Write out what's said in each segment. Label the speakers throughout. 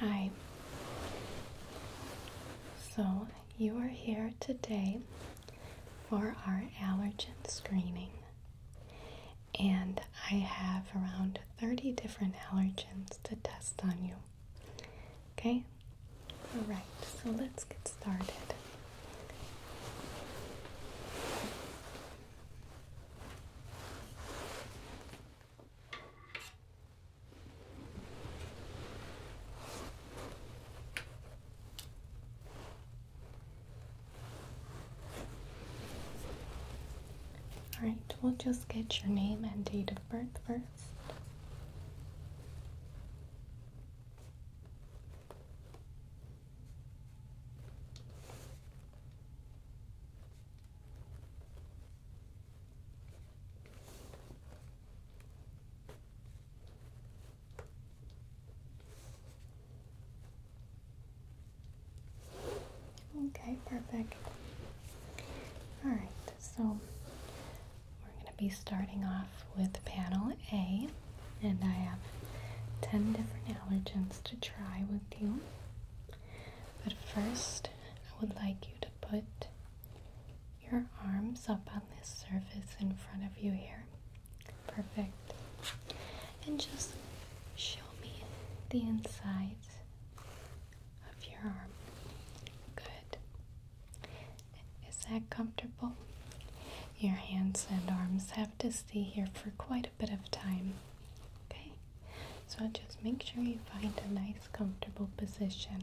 Speaker 1: Hi. So, you are here today for our allergen screening. And I have around 30 different allergens to test on you. Okay? Alright, so let's get started. Alright, we'll just get your name and date of birth first. Okay, perfect. Alright, so we're going to be starting off with panel A, and I have 10 different allergens to try with you. But first, I would like you to put your arms up on this surface in front of you here. Perfect. And just show me the inside of your arm. Good. Is that comfortable? Your hands and arms have to stay here for quite a bit of time. Okay? So just make sure you find a nice, comfortable position.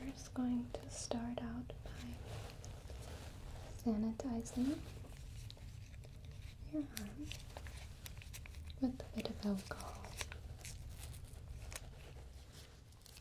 Speaker 1: We're just going to start out by sanitizing your arm with a bit of alcohol.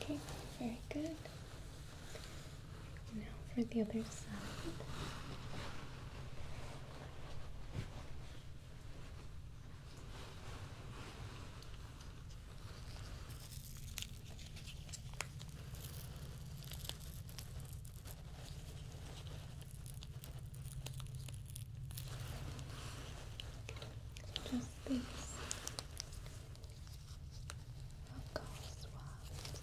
Speaker 1: Okay, very good. Now for the other side. Just these alcohol swabs.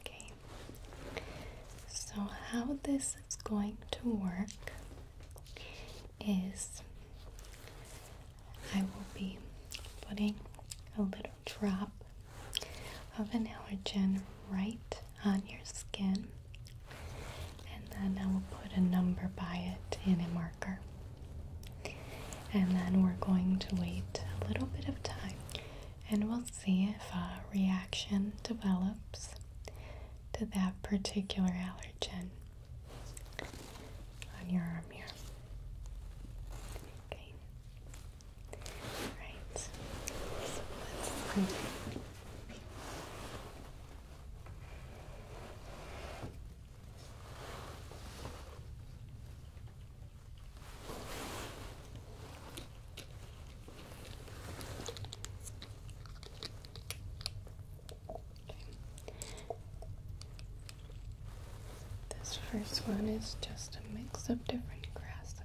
Speaker 1: Okay, so how this is going to work is I will be putting a little drop of an allergen right on your skin, and then I will put a number by it in a marker. And then we're going to wait a little bit of time and we'll see if a reaction develops to that particular allergen on your arm here. Okay. Right. So let's this first one is just a mix of different grasses.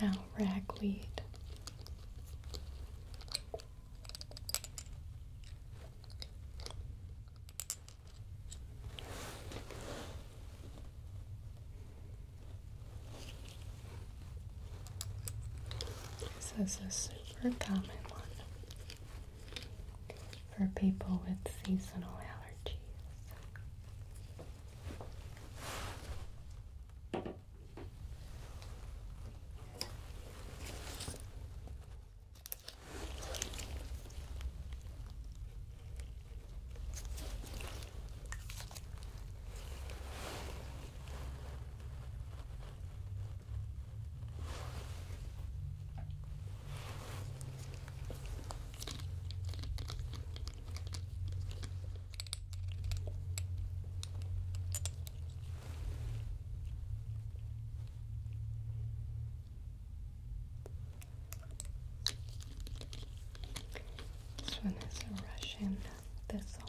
Speaker 1: now ragweed. This is a super common one for people with seasonal allergies. This one is a Russian thistle.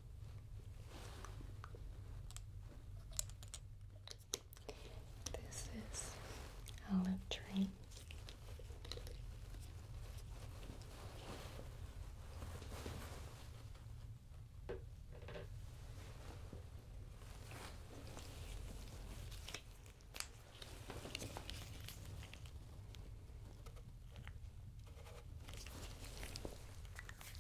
Speaker 1: This is olive tree.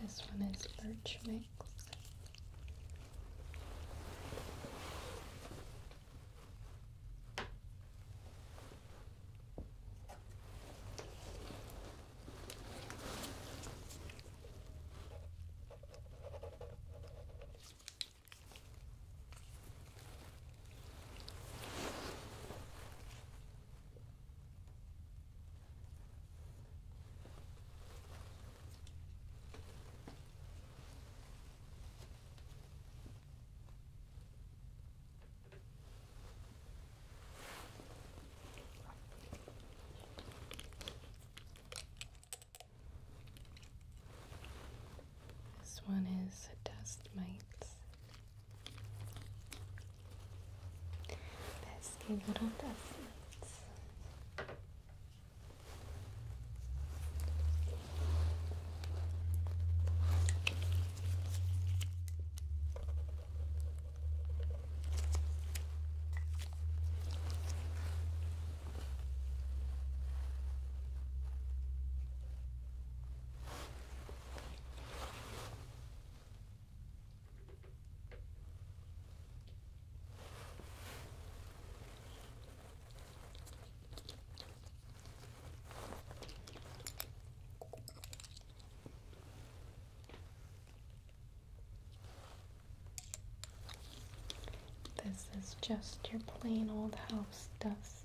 Speaker 1: This one is birch mix. This one is dust mites. Eski grunt affluent. This is just your plain old house dust.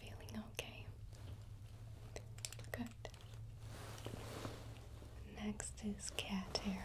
Speaker 1: Feeling okay? Good. Next is cat hair.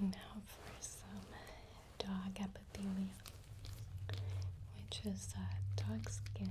Speaker 1: Now for some dog epithelia, which is a uh, dog skin.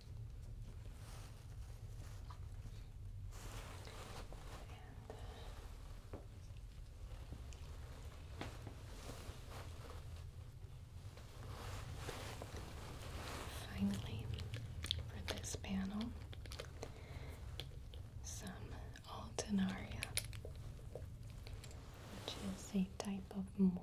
Speaker 1: And finally, for this panel, some Alternaria, which is a type of mold.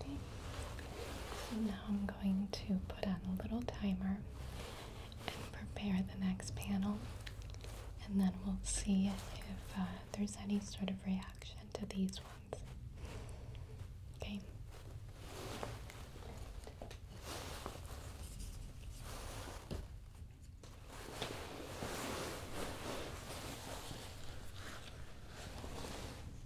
Speaker 1: So now I'm going to put on a little timer and prepare the next panel, and then we'll see if uh, there's any sort of reaction to these ones. Okay.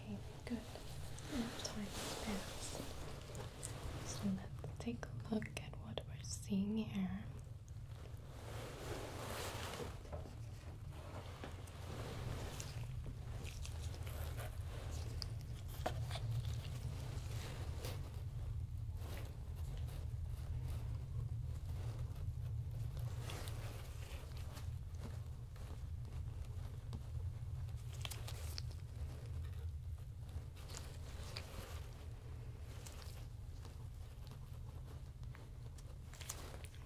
Speaker 1: Okay, good. time passed. So let's take a look at what we're seeing here.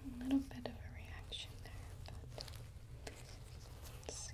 Speaker 1: A little bit of a reaction there, but let's see.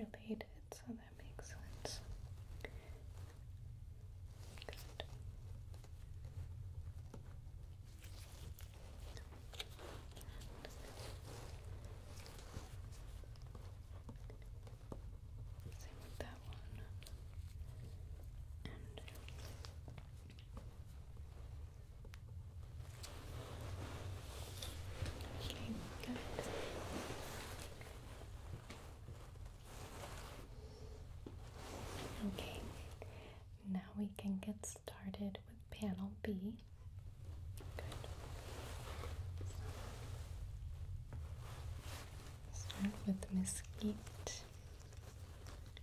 Speaker 1: Okay, this one's kind of related, so that makes sense. Same with that one. Healing, good. Okay, now we can get started with panel B. Start with mesquite.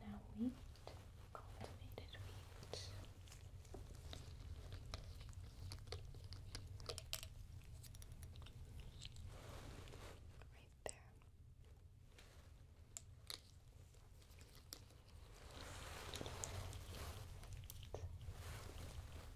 Speaker 1: Now wheat, cultivated wheat. Right there.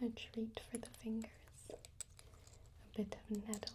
Speaker 1: Now, a treat for the fingers a bit of nettle.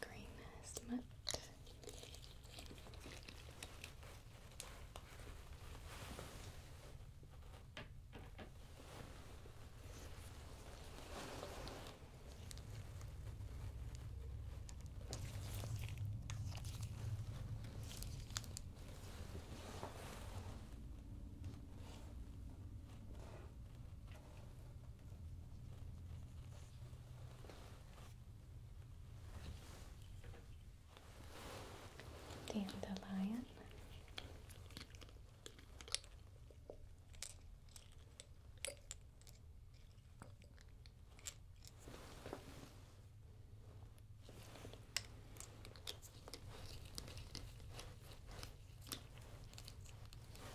Speaker 1: Green smut. Dandelion.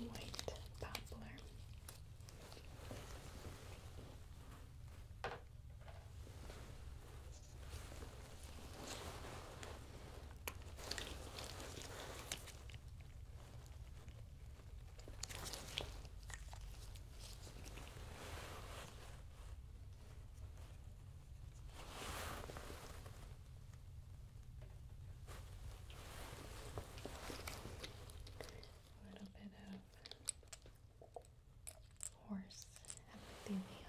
Speaker 1: White poplar. A little bit of horse epithelium.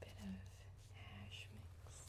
Speaker 1: Bit of hash mix.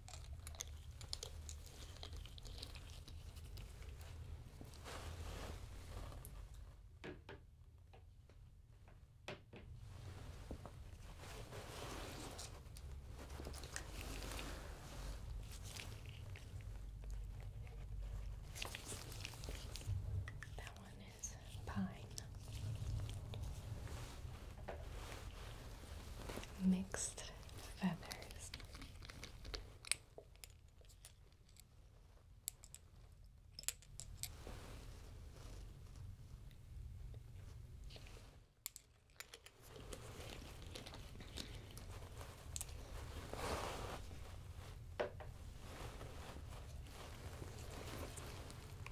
Speaker 1: That one is pine mixed feathers.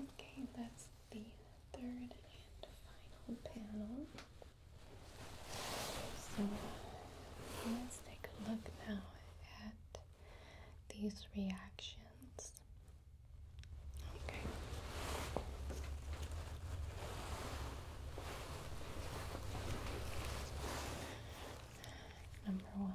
Speaker 1: Okay, that's the third and final panel. So let's take a look now at these reactions. Okay. Number one.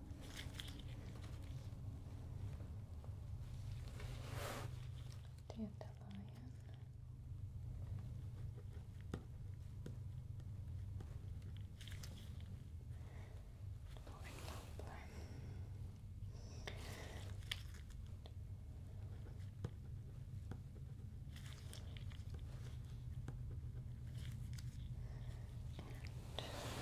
Speaker 1: Dandelion. Lord that one.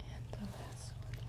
Speaker 1: And the last one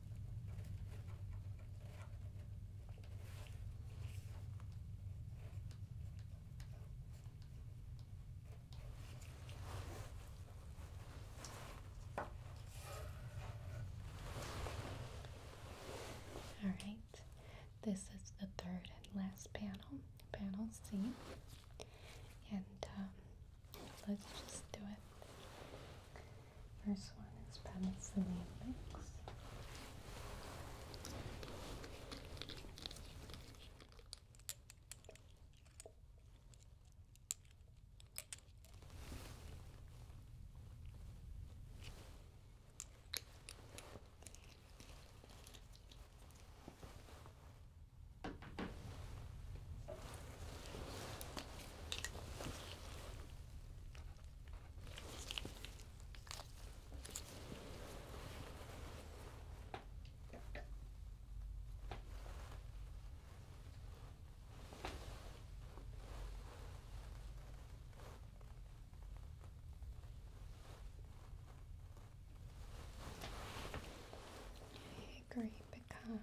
Speaker 1: All right, this is the third and last panel, panel C, and um, let's just do it. First one is penicillin mix. Grey pecan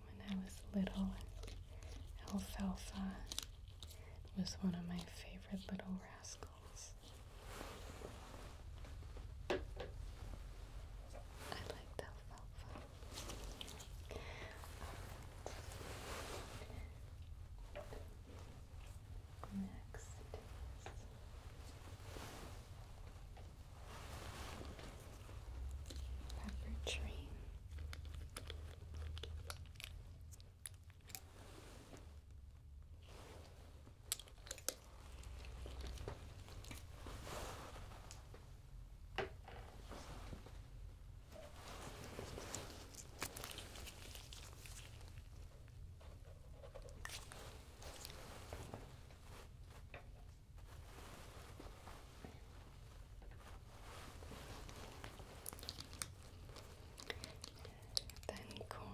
Speaker 1: when I was little. Alfalfa was one of my favorite little rascals. I liked alfalfa. Next Pepper tree. Then corn.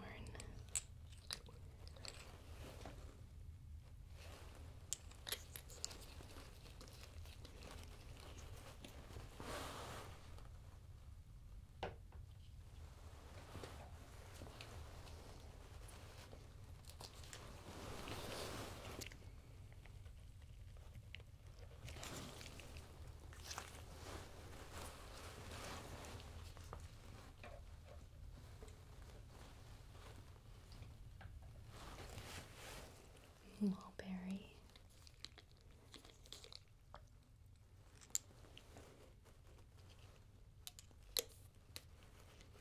Speaker 1: Mulberry.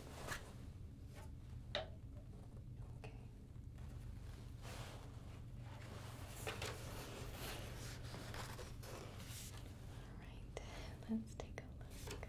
Speaker 1: Okay. Alright, let's take a look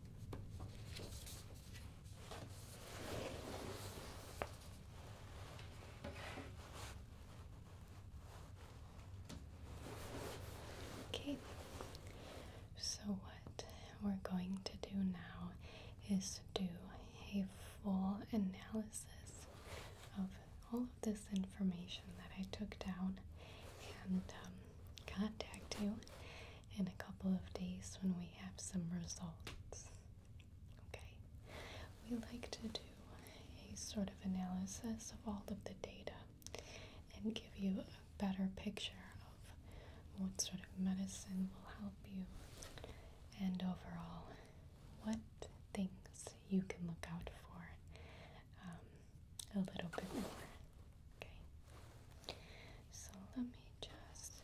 Speaker 1: Okay, so what we're going to do now is do a full analysis of all of this information that I took down and um, contact you in a couple of days when we have some results. Okay, we like to do a sort of analysis of all of the data and give you a better picture of what sort of medicine will help you and overall what things you can look out for um, a little bit more. Okay. So let me just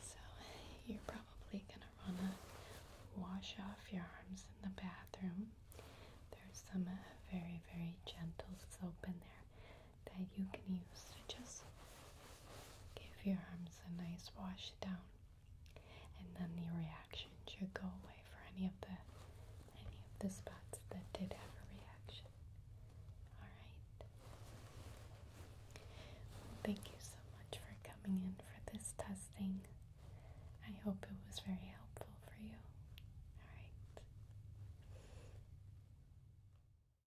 Speaker 1: So you're probably gonna wanna wash off your arms in the bathroom. There's some uh, very, very gentle soap in there that you can use to just give your arms a nice wash down and then the reaction should go away for any of the any of the spots that did have a reaction. Alright. thank you so much for coming in for this testing. I hope it was very helpful for you. Alright.